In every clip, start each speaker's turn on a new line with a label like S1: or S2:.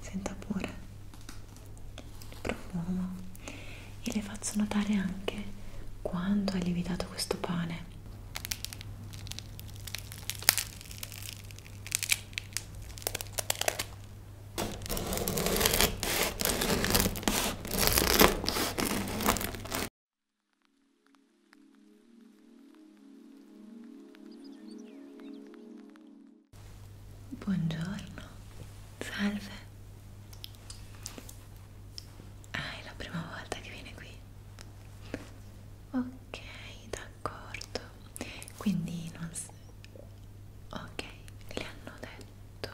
S1: senta pure il profumo e le faccio notare anche quanto è lievitato questo pane Buongiorno, salve. Ah, è la prima volta che viene qui. Ok, d'accordo. Quindi non si... Ok, le hanno detto.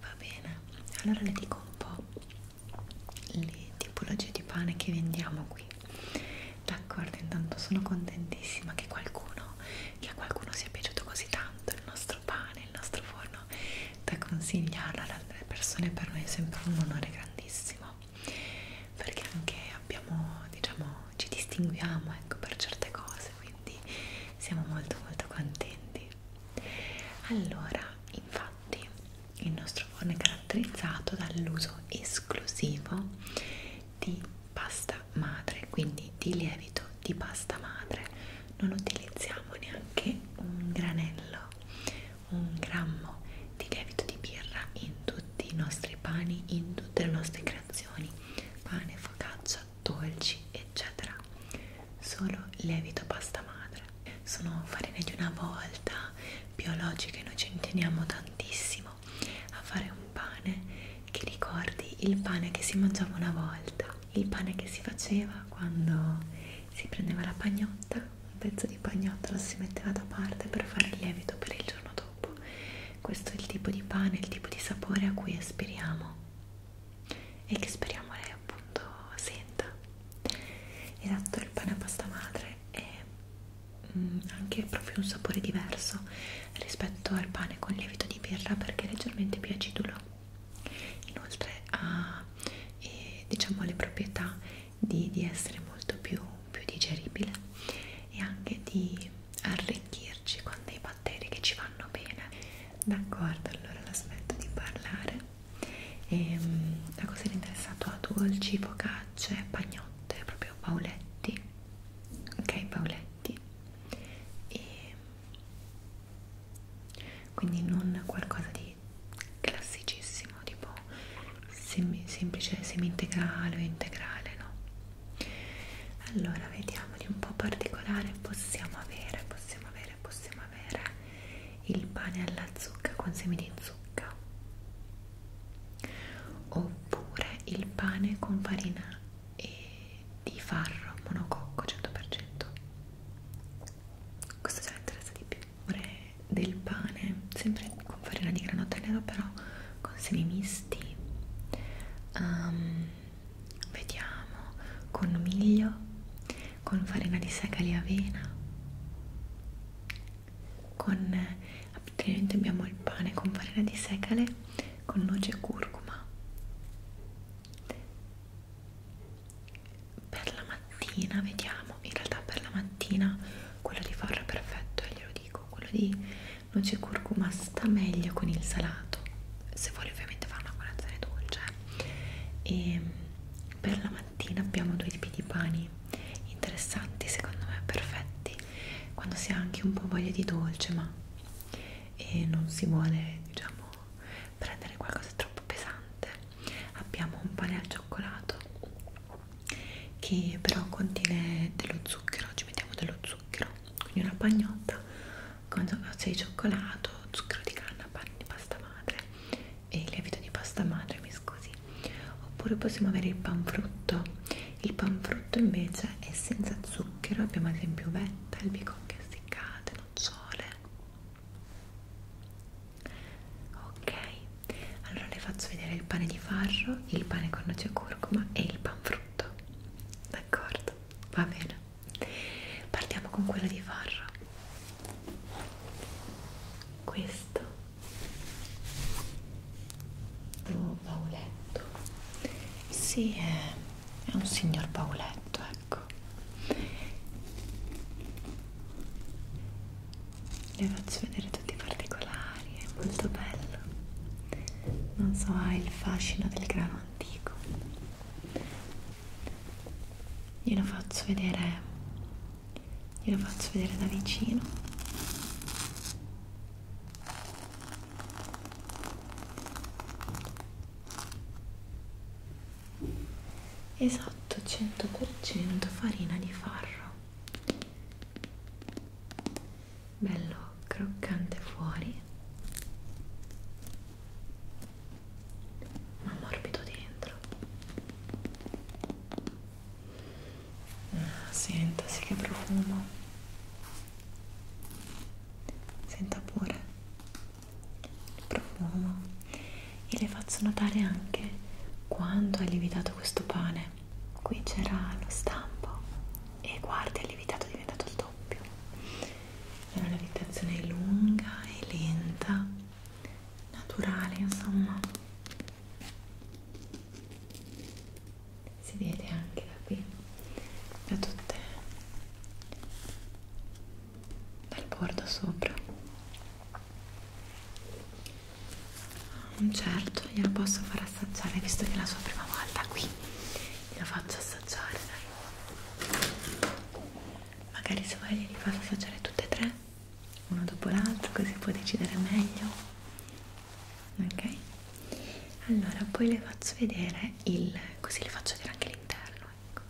S1: Va bene, allora le dico un po' le tipologie di pane che vendiamo qui d'accordo intanto sono contentissima che qualcuno che a qualcuno sia piaciuto così tanto il nostro pane il nostro forno da consigliarlo alle altre persone per noi è sempre un onore grandissimo perché anche abbiamo diciamo ci distinguiamo ecco per certe cose quindi siamo molto molto contenti allora infatti Infatti il nostro forno è caratterizzato dall'uso esclusivo di pasta madre, quindi di lievito di pasta madre. Non utilizziamo neanche un granello, un grammo di lievito di birra in tutti i nostri pani, in tutte le nostre creazioni, pane, focaccia, dolci, eccetera. Solo lievito pasta madre sono farine di una volta biologiche noi ci teniamo tantissimo a fare un pane che ricordi il pane che si mangiava una volta il pane che si faceva quando si prendeva la pagnotta un pezzo di pagnotta lo si metteva da parte per fare il lievito per il giorno dopo questo è il tipo di pane il tipo di sapore a cui aspiriamo e che speriamo lei appunto senta esatto il pane a pasta madre è mh, mm, anche proprio un sapore diverso rispetto al pane con lievito di birra perché è leggermente più acidulo inoltre ha eh, diciamo le proprietà di, di essere molto più, più digeribile e anche di arricchirci con dei batteri che ci vanno bene d'accordo allora l'aspetto di parlare e, ehm, a cosa eri interessato a dolci, focaccia borracce, pagnotte, proprio pauletti ok pauletti e quindi non qualcosa di classicissimo tipo sem semplice semi integrale o integrale no allora vediamo di un po' particolare possiamo avere possiamo avere possiamo avere il pane alla zucca con semi di zucca oppure il pane con farina e di farro monococco 100% questo già mi interessa di più vorrei del pane sempre con farina di granotto nero però con semi misti um, vediamo con miglio con farina di segale e avena con altrimenti abbiamo il pane con farina di secale con noce e curcuma per la mattina vediamo in realtà per la mattina quello di farro è perfetto e eh, glielo dico quello di noce e curcuma sta meglio con il salato se vuole ovviamente fare una colazione dolce e eh. ehm, per la mattina abbiamo due tipi di pani interessanti secondo me perfetti quando si ha anche un po' voglia di dolce ma e non si vuole diciamo prendere qualcosa troppo pesante abbiamo un pane al cioccolato che però contiene dello zucchero ci mettiamo dello zucchero quindi una pagnotta con cioè, eh, di cioccolato zucchero di canna pane di pasta madre e il lievito di pasta madre, mi scusi. Oppure possiamo avere il panfrutto. Il panfrutto invece è senza zucchero, abbiamo ad esempio uvetta, albicocche essiccate, nocciole. Ok, allora le faccio vedere il pane di farro, il pane con noce e curcuma e il panfrutto. D'accordo? Va bene. Partiamo con quello di farro. Questo Oh, Pauletto. Sì, è, è un signor Pauletto, ecco. Le faccio vedere tutti i particolari, è molto bello. Non so, ha il fascino del grano antico. Glielo faccio vedere glielo faccio vedere da vicino esatto 100% farina di farro bello croccante fuori ma morbido dentro Ah, sentasi che profumo. Senta pure il profumo. E le faccio notare anche quanto è lievitato questo pane. Qui c'era lo stampo e guardi, è lievitato, è diventato il doppio. La lievitazione è lunga e lenta, naturale, insomma si vede anche da qui da tutte dal bordo sopra un mm, certo glielo posso far assaggiare visto che è la sua prima volta qui glielo faccio assaggiare dai magari se vuoi gli faccio assaggiare tutte e tre uno dopo l'altro così può decidere meglio ok allora poi le faccio vedere il così le faccio vedere anche l'interno ecco.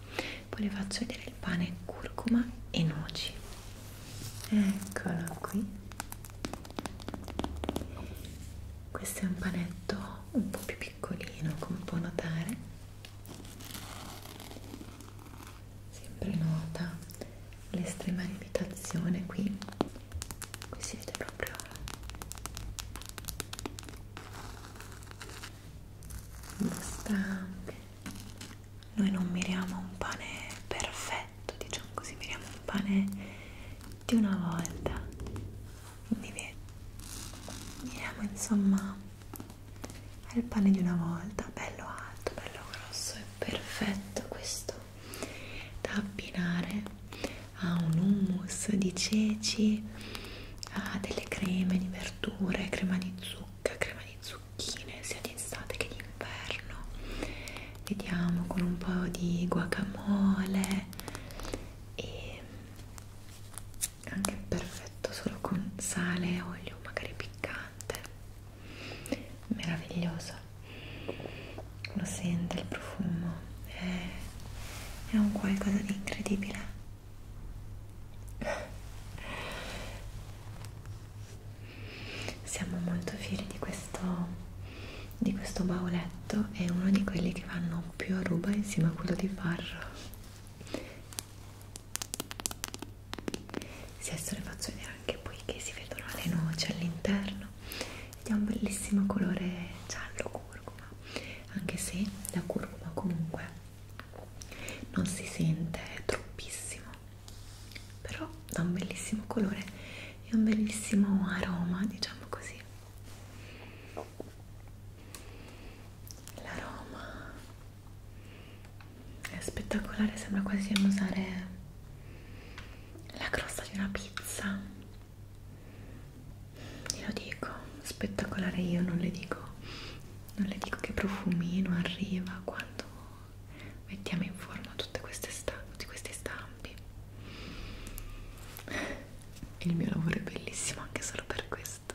S1: poi le faccio vedere il pane curcuma e noci eccolo qui questo è un panetto un po' più piccolino come può notare sempre nota l'estrema limitazione qui qui si vede proprio questa noi non miriamo un pane perfetto diciamo così miriamo un pane di una volta quindi miriamo insomma al pane di una volta, bello alto, bello grosso, è perfetto questo da abbinare a un hummus di ceci, a delle creme di verdure, crema di zucca, crema di zucchine, sia d'estate che d'inverno. Vediamo con un po' di guacamole e anche perfetto solo con sale e olio magari piccante meraviglioso lo sente il profumo è, è un qualcosa di incredibile siamo molto fieri di questo di questo bauletto è uno di quelli che vanno più a ruba insieme a quello di farro sì, adesso le faccio vedere anche poi che si vedono le noci all'interno ed è un bellissimo colore giallo curcuma, anche se la curcuma comunque non si sente troppissimo, però dà un bellissimo colore e un bellissimo aroma, diciamo così. L'aroma è spettacolare sembra quasi usare la crosta di una pizza glielo dico spettacolare io non le dico non le dico che profumino arriva quando mettiamo in forma tutte queste tutti questi stampi il mio lavoro è bellissimo anche solo per questo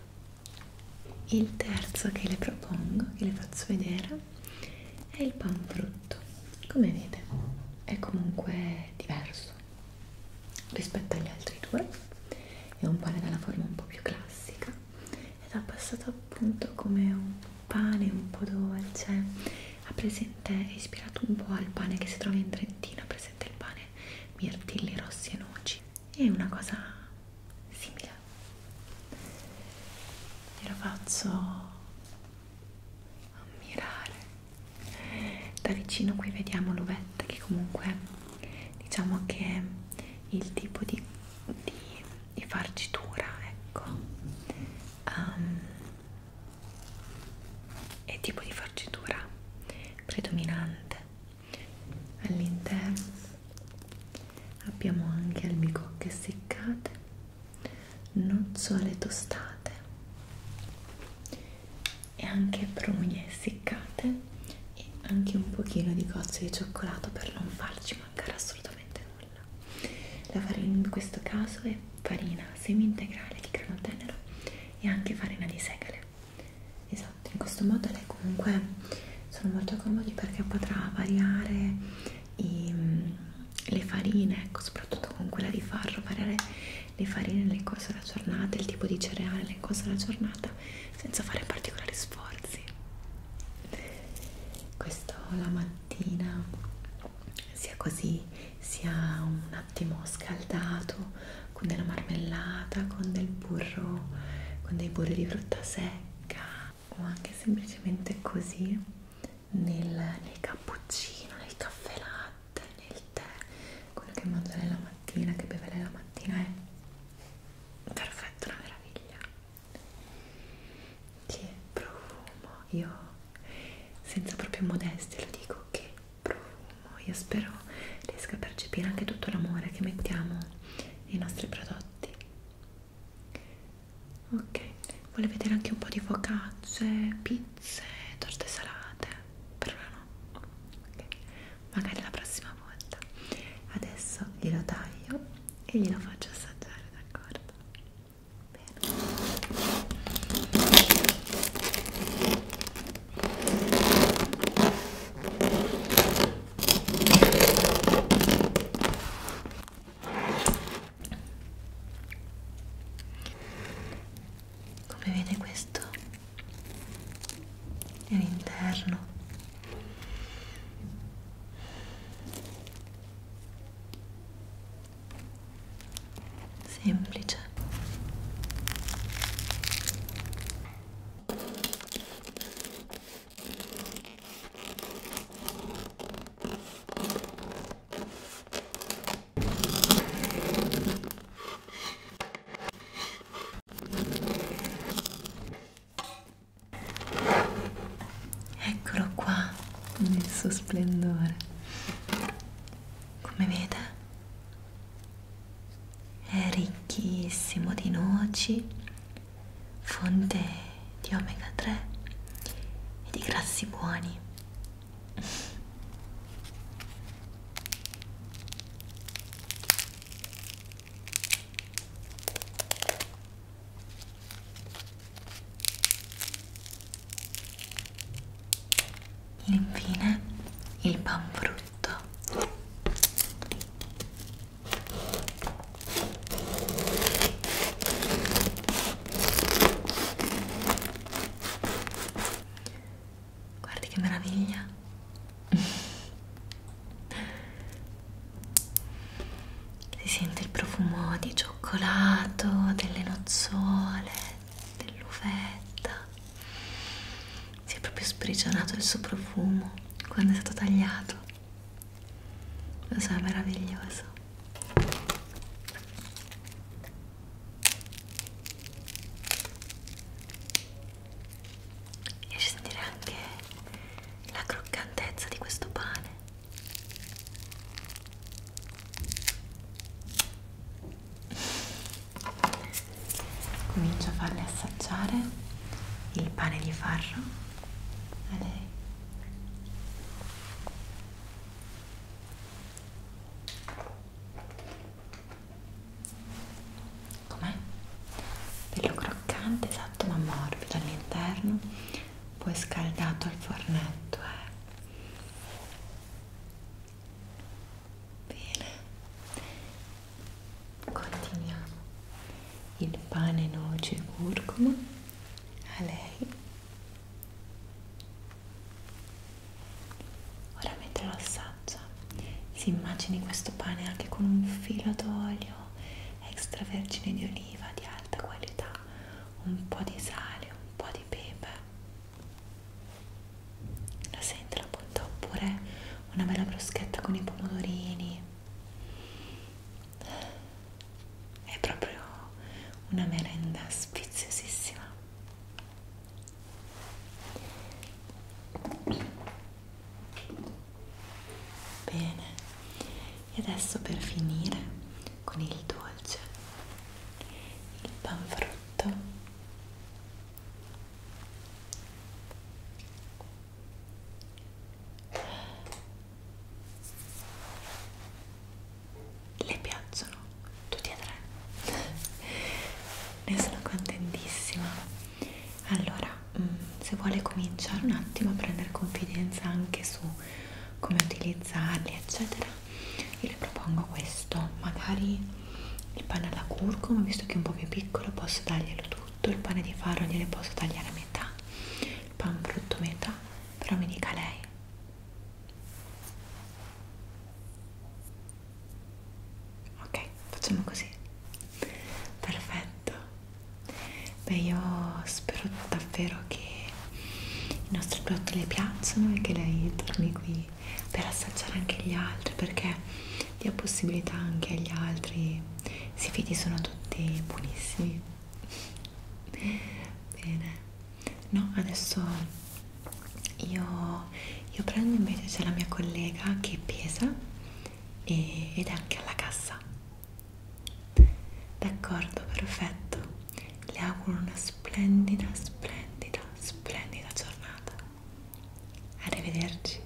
S1: il terzo che le propongo, che le faccio vedere, è il panfrutto. Come vede, è comunque diverso rispetto agli altri due. È un pane dalla forma un po' più classica ed ha passato appunto come un pane un po' dolce. Ha presente, è ispirato un po' al pane che si trova in Trentino, ha presente il pane mirtilli rossi e noci. È una cosa simile e lo faccio ammirare da vicino qui vediamo l'uvetta che comunque diciamo che è il tipo di, di, di farcitura ecco um, è tipo di farcitura predominante all'interno abbiamo anche albicocche seccate nocciole tostate e anche prugne seccate e anche un pochino di gocce di cioccolato per non farci mancare assolutamente nulla la farina in questo caso è farina semi integrale di grano tenero e anche farina di segale esatto in questo modo lei comunque sono molto comodi perché potrà variare i, le farine ecco, soprattutto con quella di farro variare le farine nel corso della giornata il tipo di cereale nel corso della giornata senza fare particolari sforzi questo la mattina sia così sia un attimo scaldato con della marmellata, con del burro, con dei burri di frutta secca, o anche semplicemente così nel, nel cappuccino, nel caffè latte, nel tè, quello che mangia lei la mattina, che beve lei la mattina è perfetto, una meraviglia. Che profumo, io senza proprio modestia lo dico che profumo, io spero riesca a percepire anche tutto l'amore che mettiamo nei nostri prodotti ok vuole vedere anche un po' di focacce pizze torte salate per ora no ok magari la prossima volta adesso glielo taglio e glielo faccio assaggiare d'accordo bene come vede questo è l'interno semplice Eccolo qua nel suo splendore. Come vede è ricchissimo di noci fonte di omega 3 e di grassi buoni Infine il panfrutto Guardi che meraviglia. Si sente il profumo di cioccolato, delle nozzole, dell'uvetta. Si è proprio sprigionato il suo profumo quando è stato tagliato lo so è meraviglioso mi piace sentire anche la croccantezza di questo pane comincio a farle assaggiare il pane di farro a lei com'è? bello croccante esatto ma morbido all'interno poi scaldato al fornetto eh. bene Continuiamo. Il pane, noce e curcuma a lei. Ora mentre lo assaggia, si immagini questo pane anche con un filo d'olio extravergine di oliva di alta qualità, un po' di sale, un po' di pepe. La sente la punta oppure una bella bruschetta con i pomodorini è proprio una merenda speziosissima. Bene, e adesso per finire con il dolce, il panfrutto le piacciono tutti e tre. ne sono contentissima. Allora, mm, se vuole cominciare un attimo a prendere confidenza anche su come utilizzarli, eccetera, io le propongo questo. Magari il pane alla curcuma, visto che è un po' più piccolo, posso darglielo tu tutto, il pane di farro gliene posso tagliare a metà, il pan brutto metà, però mi dica lei. Ok, facciamo così. Perfetto. Beh, io spero davvero che i nostri prodotti le piacciono e che lei torni qui per assaggiare anche gli altri perché dia possibilità anche agli altri si fidi sono tutti buonissimi bene no adesso io, io prendo invece c'è la mia collega che pesa e, ed è anche alla cassa d'accordo perfetto le auguro una splendida splendida splendida giornata arrivederci